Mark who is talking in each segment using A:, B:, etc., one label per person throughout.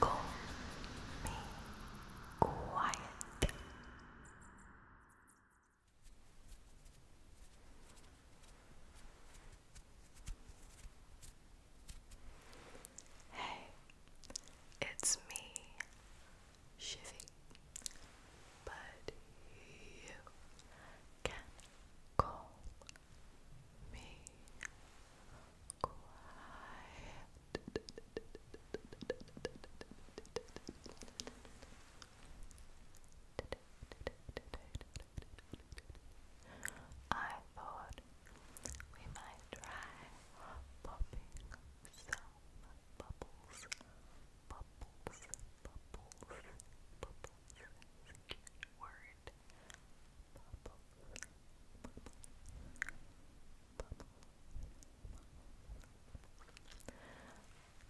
A: Call me quiet. Hey, it's me, Shivy, but you can call me quiet. I thought we might try
B: popping some bubbles, bubbles, bubbles, bubbles. cute word.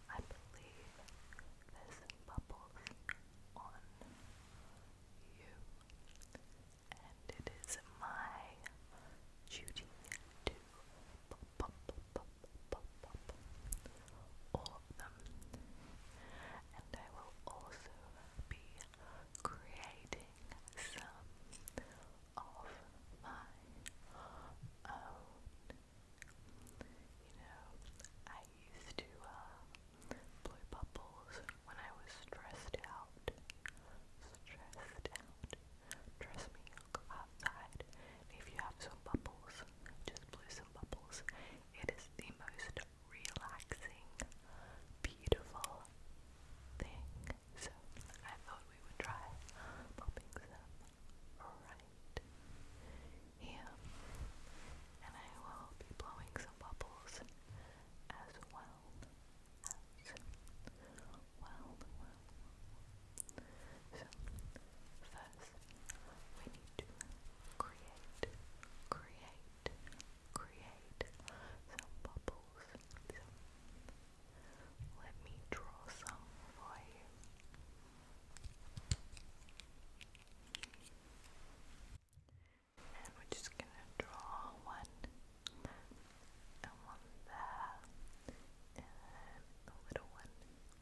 B: I believe there's bubbles on you, and it is my duty to pop all of them and I will also be creating some of my You know, I used to uh, blow bubbles when I was stressed out. Stressed out. Trust me, go outside. if you have some bubbles, just blow some bubbles. It is the most relaxing, beautiful thing. So I thought we would try popping some right here. And I will be blowing some bubbles as well as well. So first we need to create, create, create some bubbles. let me draw some for you. And we're just gonna draw one and one there and a little one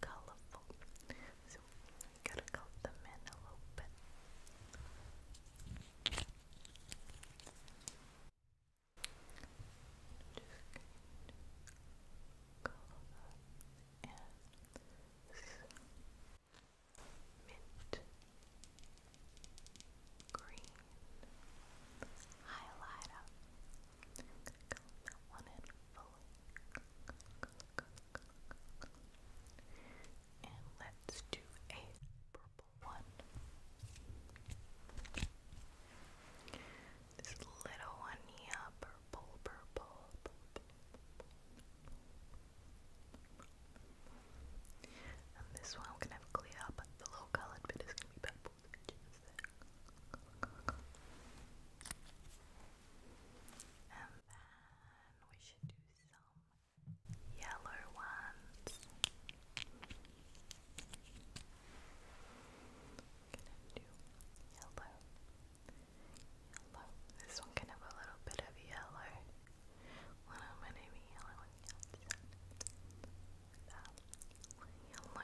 B: colorful. So gotta color them in a little bit. Just color them in mint green highlighter. color that one in. And let's do a purple one. This little one here, purple, purple, and this one I'm gonna have clear, but the low colored bit is gonna be purple. And then we should do some yellow ones. Gonna do yellow. Yellow. This one can have a little bit of yellow. One of my name is yellow on yellow.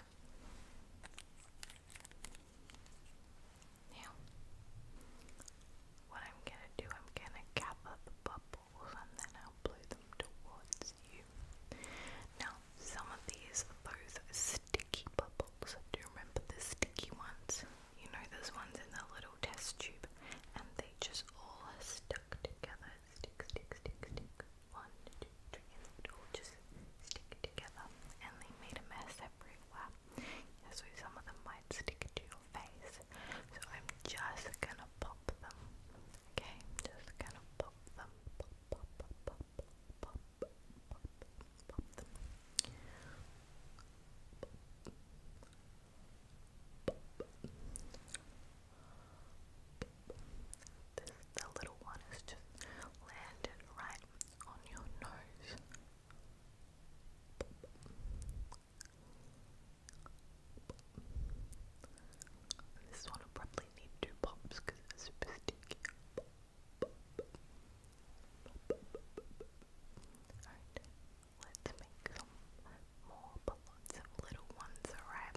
B: Now, what I'm gonna do, I'm gonna gather the bubbles and then I'll blow them towards you. Now, some of these are those sticky bubbles. Do you remember the sticky ones? You know those ones in the little test tube and they just all stuck together. Stick, stick, stick, stick. One, two, three, just stick together and they made a mess everywhere. Yeah, so some of them might stick to your face. So I'm just gonna pop them. Okay, just gonna pop them. Pop, pop, pop, pop, pop, pop, pop, pop them. Pop. Pop. This, the little one is just landed right on your nose. This one will probably need two pops because it's super sticky. Alright, let's make some more balloons little ones, alright?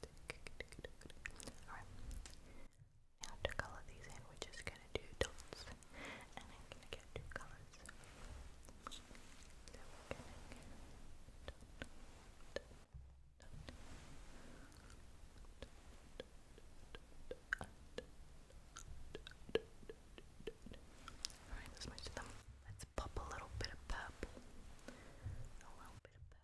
B: Alright. Now to color these in, we're just gonna do dots. And I'm gonna get two colors. Alright, let's mix them. Let's pop a little bit of purple. A little bit of purple.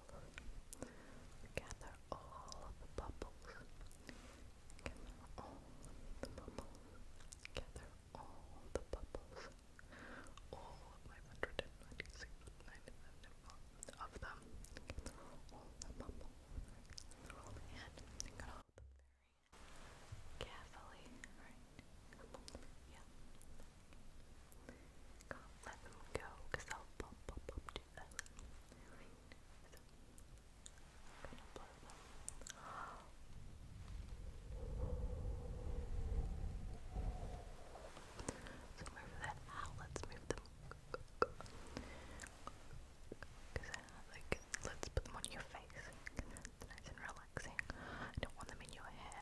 B: Gather all the bubbles. Gather all the bubbles. Gather all the bubbles. All of my of them. all the bubbles. Gather Gather all very carefully, right? Yeah. Can't let them go because they'll pop, pop, pop do So move that out, let's move them. Cause like, let's put them on your face. It's nice and relaxing. I don't want them in your hair.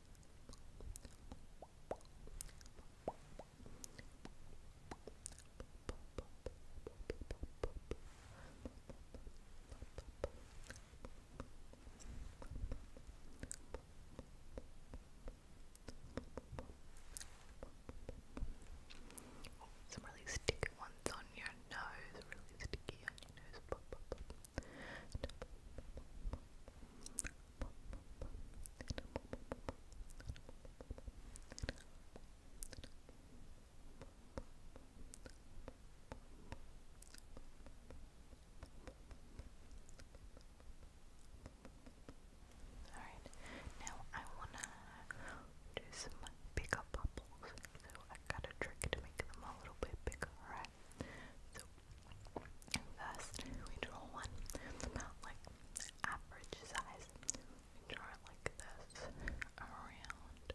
C: Some really sticky ones on your nose, really sticky on your nose. Alright, now I wanna do some bigger bubbles, so I got a trick to make them a little bit bigger, right? So Thus, we draw one about like average size. We draw it like this, around, around.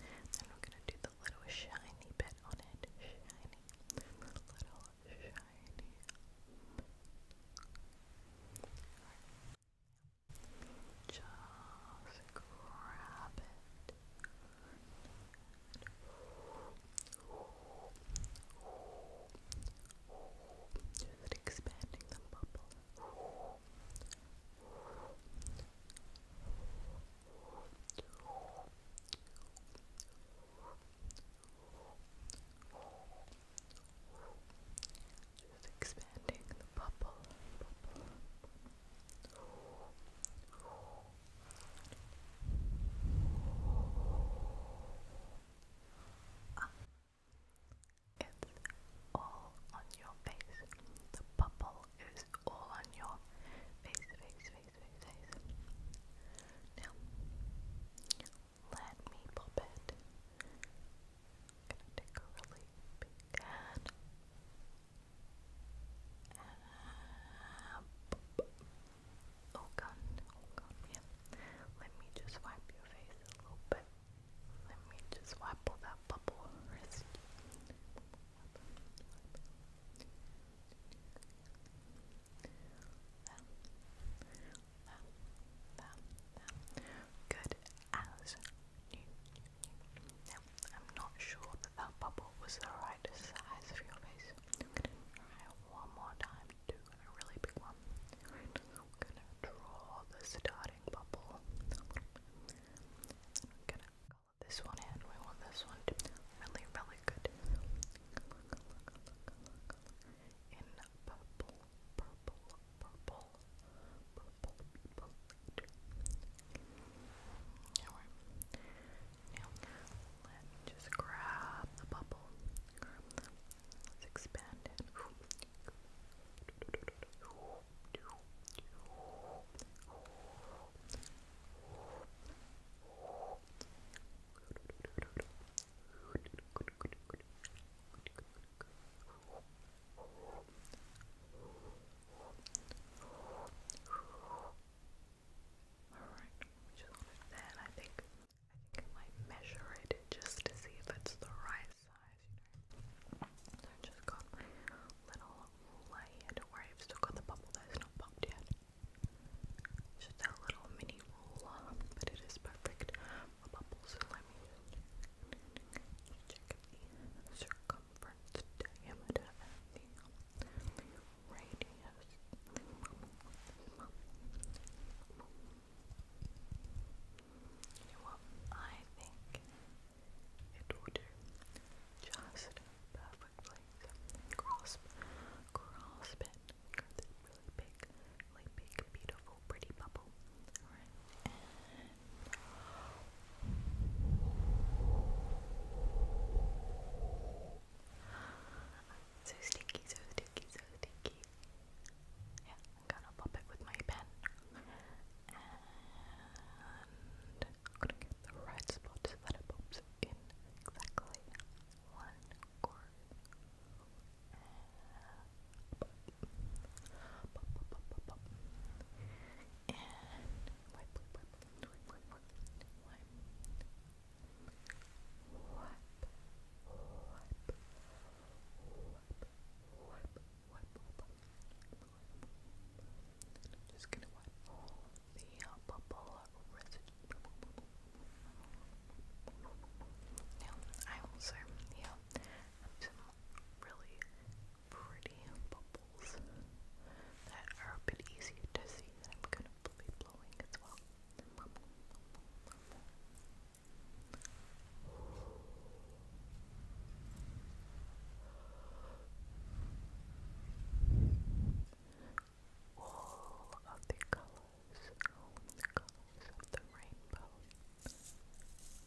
C: Then we're gonna do the little shiny bit on it. Shiny, little shiny. Just grab it. Is expanding the bubble? Just expanding the bubble, Ah. It's all on your face. The bubble is all on your face, face, face, face, face. Now, let me pop it. gonna take a really big hand. Uh, oh Let me just wipe your face a little bit. Let me just wipe all that bubble Good as new. Now, I'm not sure that that bubble was right right size for your face. i one more time do a really big one. Right. i gonna draw the starting bubble. I'm gonna color this one in. We want this one to be really, really good. In purple, purple, purple, purple, purple, now, let just grab the bubble. let's expand it. Alright, just want it I think I think I might measure it just to see if it's the right size, So I've just got my little layer. Don't worry, I've still got the bubble there, not popped yet. just that little mini roller, but it is perfect
D: for bubbles, so let me just check the circumference circumference diameter and the radius. You know I think it will do just perfectly. Grasp, grasp it. Got this really big, really big, beautiful, pretty bubble. So sticky, so sticky, so sticky. Yeah, I'm gonna pop it with my pen. And I'm gonna get the right spot so that it pops in exactly one corner. pop, pop, pop, pop, pop. And wipe, wipe, wipe, wipe, wipe, wipe, wipe, wipe, wipe, wipe, wipe, wipe. I'm just gonna wipe all the uh, bubble residue. Now, I also, yeah, have some really pretty bubbles that are a bit easier to see I'm gonna be blowing as well. All of the colors, the colors of the rainbow.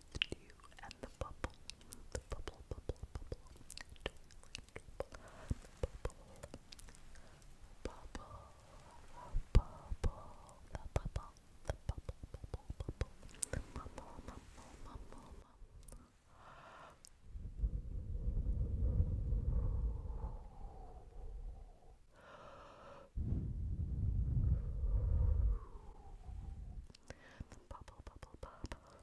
D: to the and the bubble, the bubble, bubble, bubble, bubble, bubble, bubble, the bubble, the bubble, bubble, bubble, the bubble, bubble, bubble, bubble. The bubble, bubble, bubble,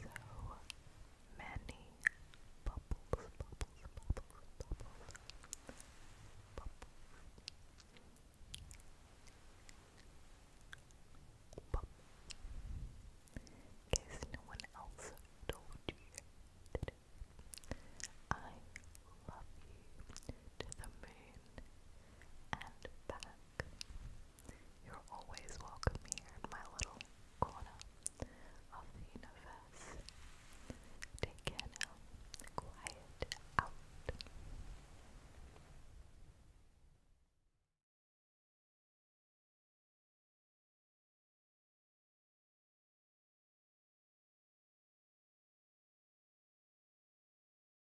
D: So many bubbles, bubbles, bubbles, bubbles, bubbles. Bubble. In case no one else told you I love you to the moon and back. You're always welcome here my little corner of the universe. Take care now. Quiet out.